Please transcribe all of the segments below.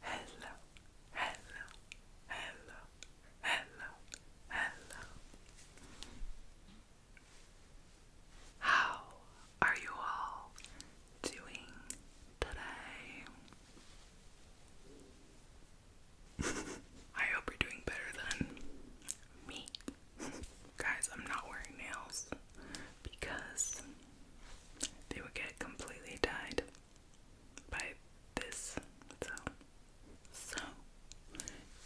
hello, hello, hello, hello, hello, hello. How are you all doing today? I hope you're doing better than me. Guys, I'm not wearing nails because they would get completely tied by this. So, so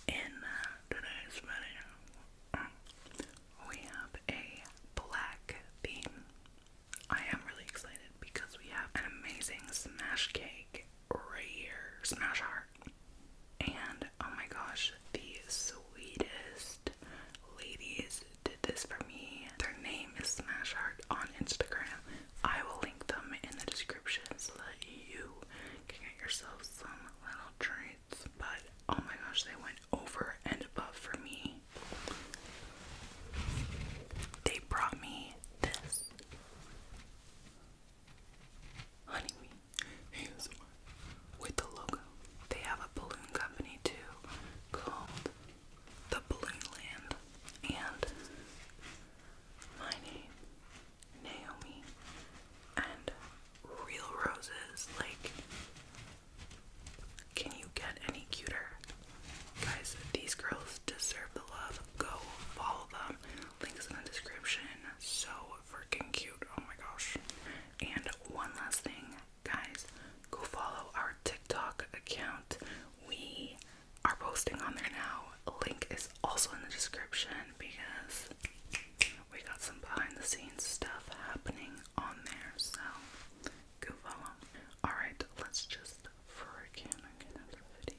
in uh, today's video, we have a black theme. I am really excited because we have an amazing smash cake right here, smash heart. And oh my gosh, the sweetest ladies did this for me. Their name is Smash on Instagram. I will link them in the description so that you can get yourself some little treats. But oh my gosh, they went over and above for me. They brought me this honeybee with the logo. They have a balloon company too called the Balloon Land, and my name, Naomi, and real roses. Like, can you get any cuter? Guys, these girls deserve the love. Go follow them. Links in the description. So freaking cute. Oh my gosh. And one last thing guys, go follow our TikTok account. We are posting on there now. Link is also in the description because we got some behind the scenes stuff happening on there. So go follow. Alright, let's just for get into the video.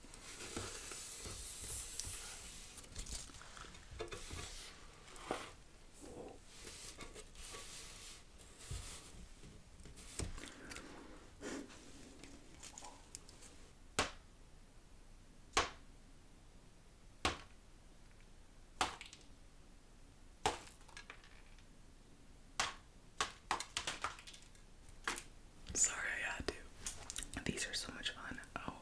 Sorry, I had to. These are so much fun. Oh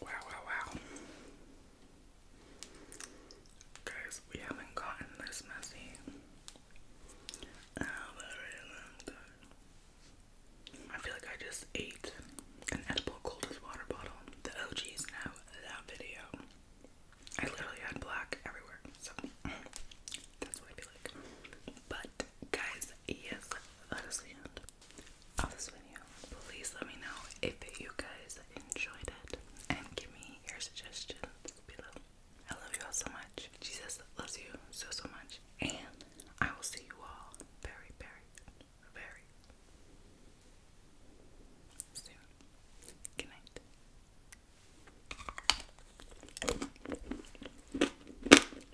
Wow, wow, wow. Guys, we haven't gotten this messy I feel like I just ate an edible coldest water bottle. The OGs know that video. I literally had black everywhere, so that's what I feel like. But guys, yes, that is the end of this video. Please let me know if you guys enjoyed it and give me your suggestions below. I love you all so much. Jesus loves you so, so much. And I will see you all very, very, very soon. Good night.